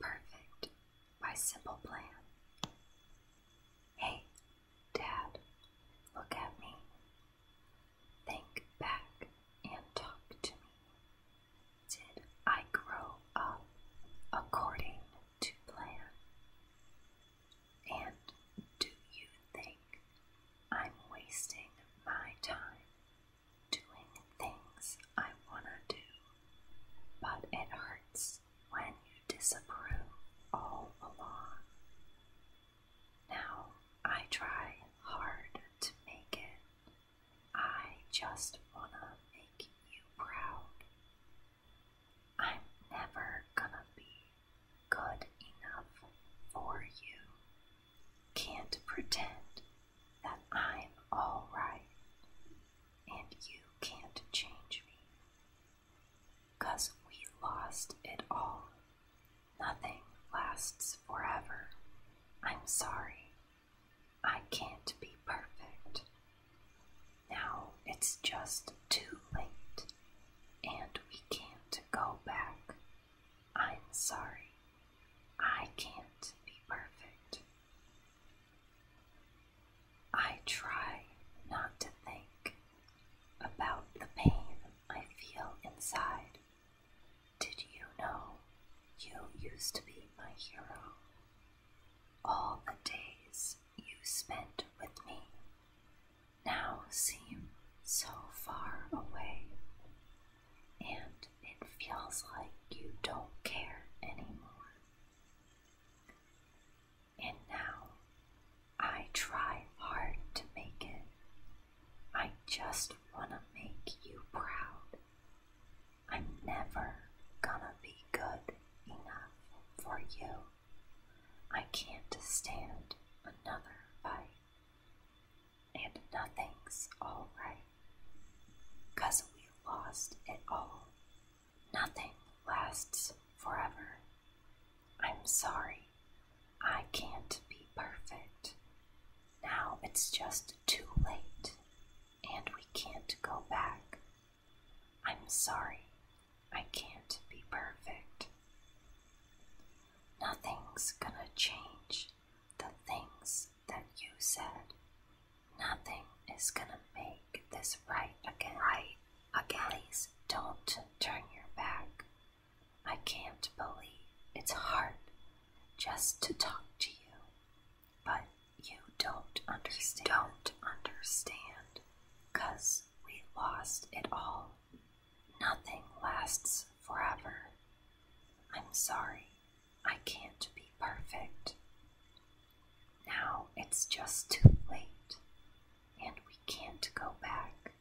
Perfect by Simple Plan. Hey, Dad, look at me. Think back and talk to me. Did I grow up according to plan? And do you think I'm wasting my time doing things I wanna do, but it hurts when you disapprove all along. Now I try hard to make it. I just wanna make you proud. I'm never gonna be good enough for you can't pretend that I'm all right and you can't change me. Cause we lost it all. Nothing lasts forever. I'm sorry. I can't be perfect. Now it's just too late and we can't go back. I'm sorry. I can't be perfect. I try not to think about the pain I feel inside. Did you know you used to be my hero? All the days you spent with me now seem so far away, and it feels like you don't care anymore. And now I try hard to make it. I just want to make you proud. I'm never gonna be good enough for you. I can't stand another fight. And nothing's all right. Cause we lost it all. Nothing lasts forever. I'm sorry. I can't be perfect. Now it's just too late. And we can't go back. I'm sorry, I can't be perfect. Nothing's gonna change the things that you said. Nothing is gonna make this right again. Right again. Please don't turn your back. I can't believe it's hard just to talk to you. But you don't understand. don't understand. Cause we lost it all. Nothing lasts forever. I'm sorry. I can't be perfect. Now it's just too late. And we can't go back.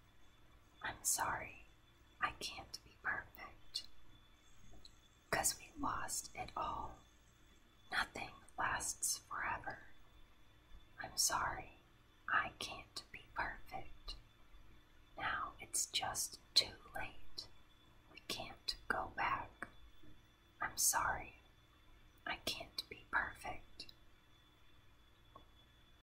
I'm sorry. I can't be perfect. Because we lost it all. Nothing lasts forever. I'm sorry, I can't be perfect. Now it's just too late. We can't go back. I'm sorry, I can't be perfect.